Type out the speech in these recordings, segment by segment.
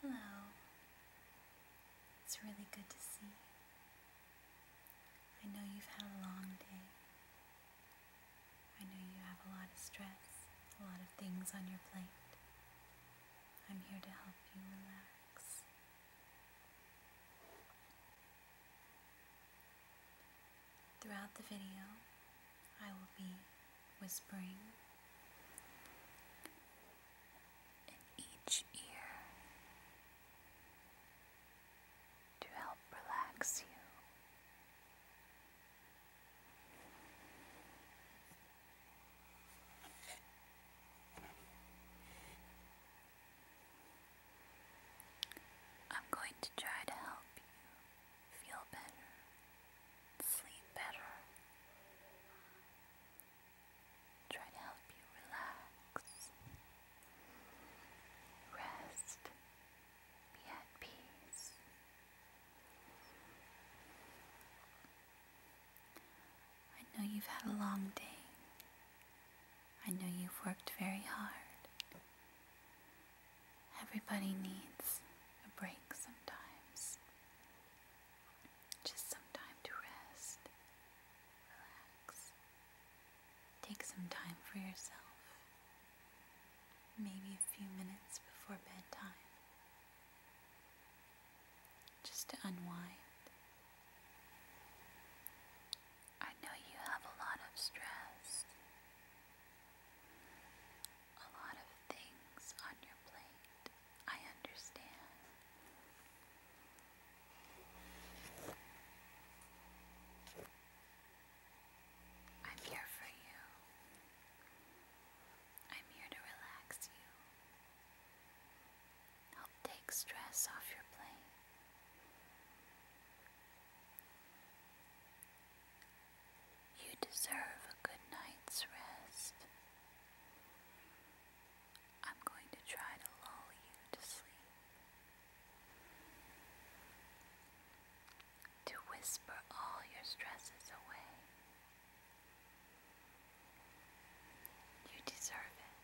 Hello. It's really good to see I know you've had a long day. I know you have a lot of stress, a lot of things on your plate. I'm here to help you relax. Throughout the video, I will be whispering in each ear to help relax you. I'm going to try to help you feel better, sleep better. Try to help you relax, rest, be at peace. I know you've had a long day. I know you've worked very hard. Everybody needs a break sometimes. Just some time to rest, relax, take some time for yourself. Maybe a few minutes before bedtime. Just to unwind. I know you have a lot of stress. A lot of things on your plate, I understand. I'm here for you. I'm here to relax you. Help take stress off your plate. You deserve a good night's rest. I'm going to try to lull you to sleep. To whisper all your stresses away. You deserve it.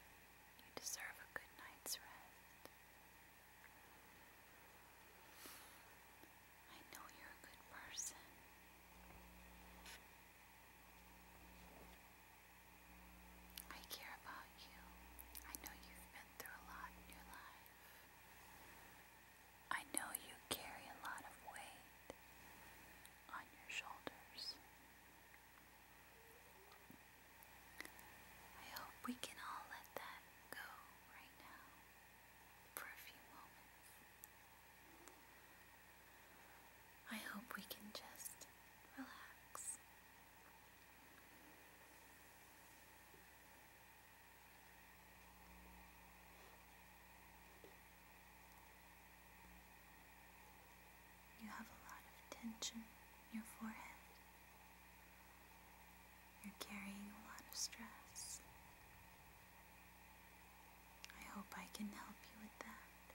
You deserve a good night's rest. I know you're a good person. I care about you. I know you've been through a lot in your life. I know you carry a lot of weight on your shoulders. I hope we can all let that go right now for a few moments. I hope we can just relax. You have a lot of tension in your forehead. You're carrying a lot of stress. I hope I can help you with that.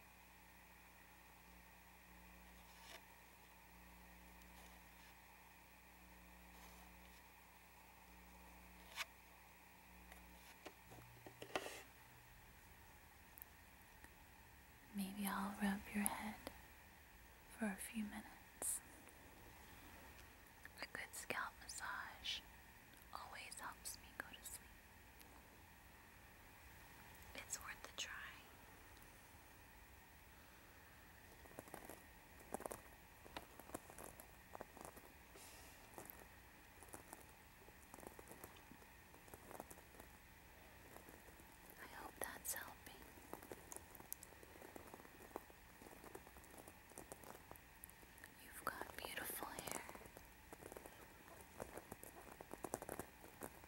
Maybe I'll rub your head for a few minutes. A good scalp massage always helps me go to sleep. It's worth a try. I hope that's helping. You've got beautiful hair.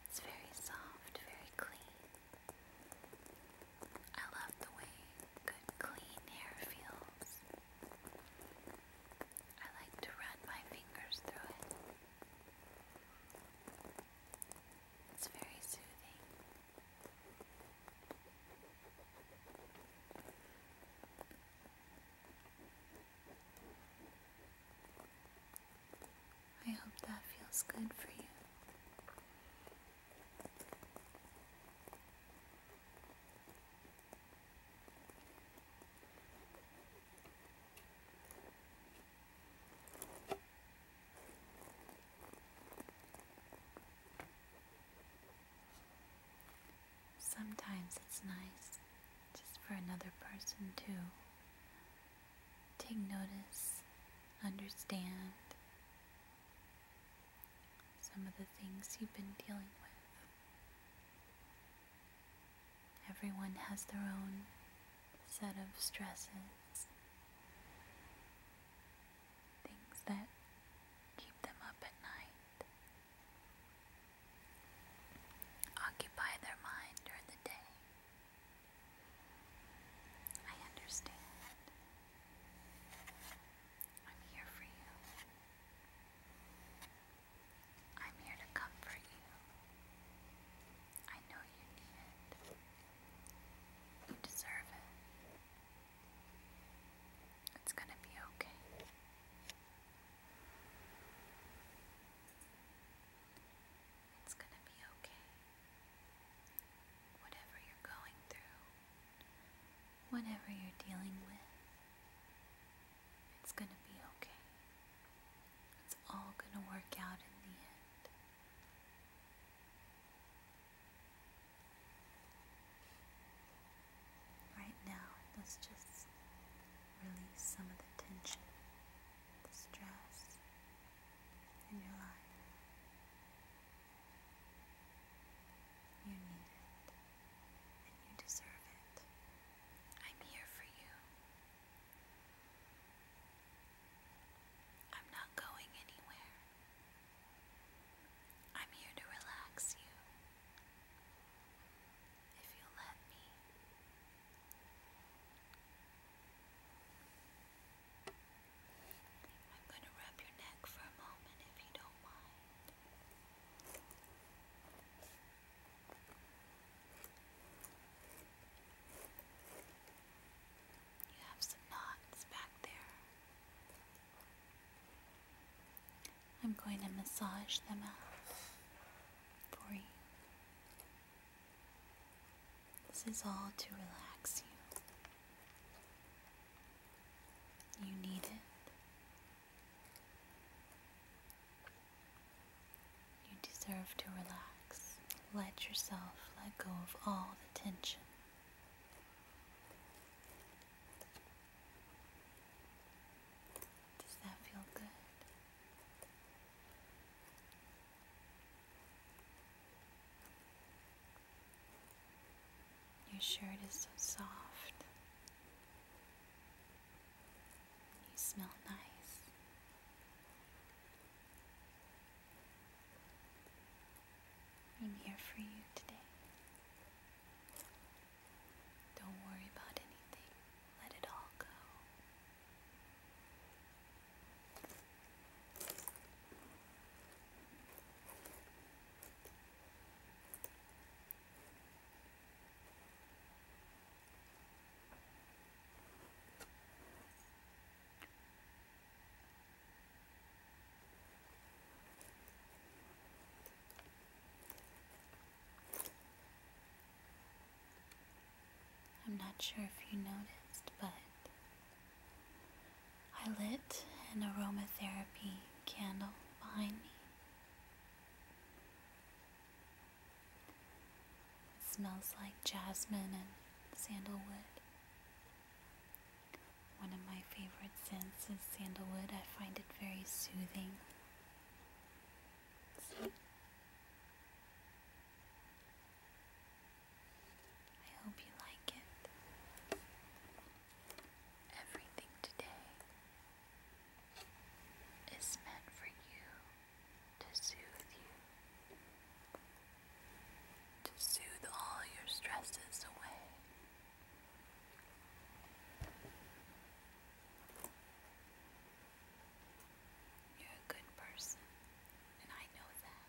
It's very soft, very clean. I love the way good, clean hair feels. I like to run my fingers through it. It's very soothing. I hope that feels good for you. Sometimes it's nice just for another person to take notice, understand some of the things you've been dealing with. Everyone has their own set of stresses things that keep them up at night. Occupy their mind during the day. I understand. I'm here for you. I'm here to comfort you. I know you need it. You deserve it. It's gonna be okay. It's gonna be okay. Whatever you're going through, whatever you're dealing with, it's gonna be okay. It's all gonna work out in the end. Right now, let's just release some of the tension, the stress in your life. You need it, and you deserve it. I'm here for you. I'm not going anywhere. I'm here to relax you. If you let me. I'm going to rub your neck for a moment if you don't mind. You have some knots back there. I'm going to massage them out for you. This is all to relax you. You need it. You deserve to relax. Let yourself let go of all tension. Does that feel good? Your shirt is so soft. You smell nice. I'm here for you today. Don't worry about anything. Let it all go. I'm not sure if you noticed, but I lit an aromatherapy candle behind me. It smells like jasmine and sandalwood. One of my favorite scents is sandalwood. I find it very soothing. I hope you like it. Everything today is meant for you to soothe you, to soothe all your stresses away. You're a good person, and I know that.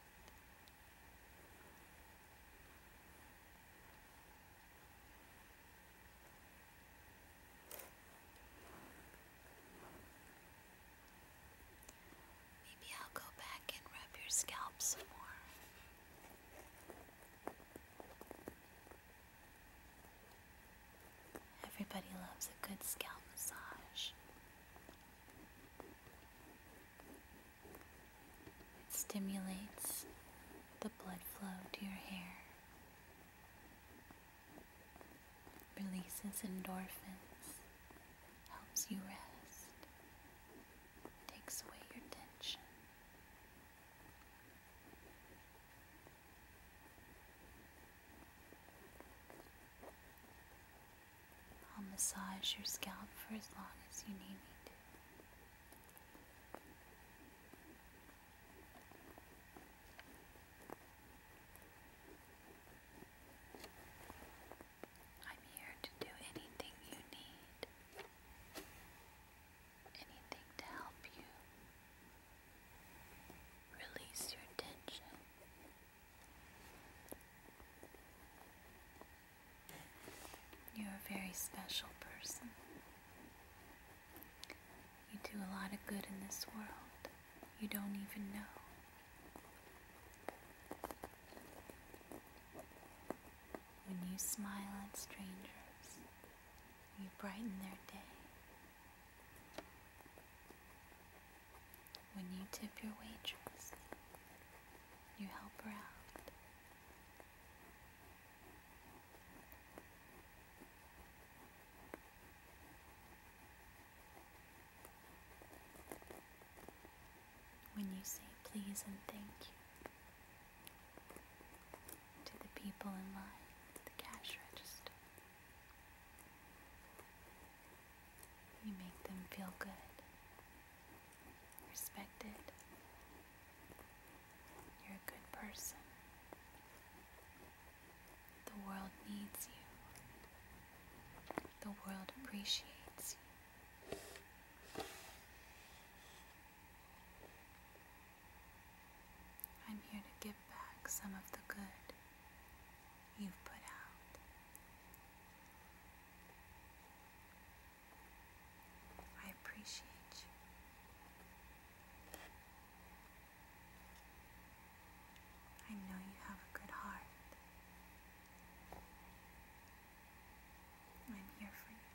Maybe I'll go back and rub your scalp some more. Everybody loves a good scalp massage. It stimulates the blood flow to your hair, releases endorphins, helps you rest, takes away your tension. I'll massage your scalp for as long as you need me to. I'm here to do anything you need, anything to help you release your tension. You're a very special person. You do a lot of good in this world you don't even know. When you smile at strangers, you brighten their day. When you tip your waitress, you help her out. When you say please and thank you to the people in line at the cash register, you make them feel good, respected. You're a good person. The world needs you. The world appreciates you. I'm here to give back some of the good you've put out. I appreciate you. I know you have a good heart. I'm here for you.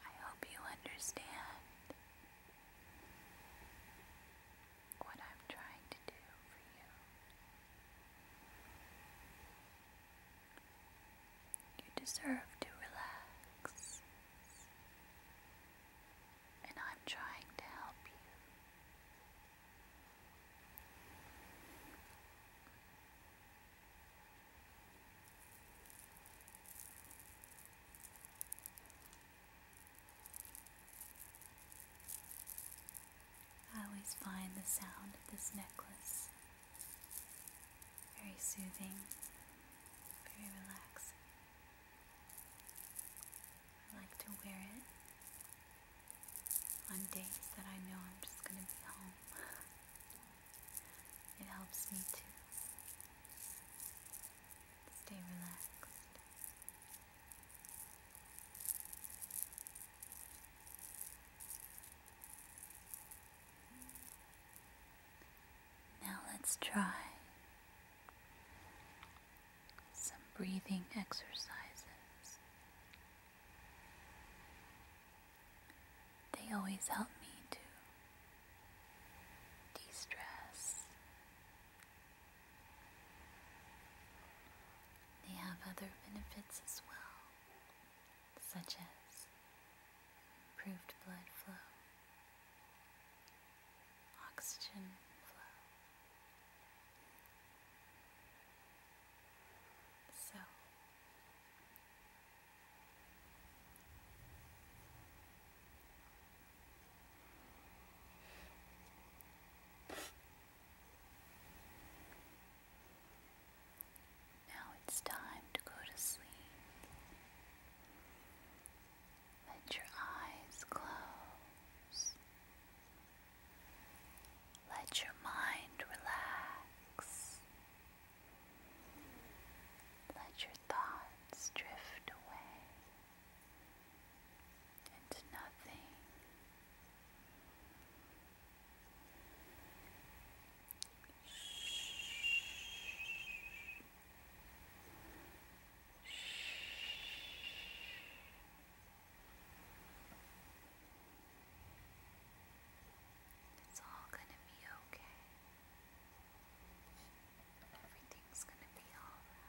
I hope you understand what I'm trying to do for you. You deserve to relax, and I'm trying to help you. I always find the sound of this necklace very soothing, very relaxing. I like to wear it on days that I know I'm just going to be home. It helps me to stay relaxed. Now let's try some breathing exercises. They always help me to de stress they have other benefits as well, such as improved blood flow, oxygen flow. So, now it's time to go to sleep. Let your eyes close. Let your mind relax. Let your thoughts drift away into nothing. It's all going to be okay. Everything's going to be all right.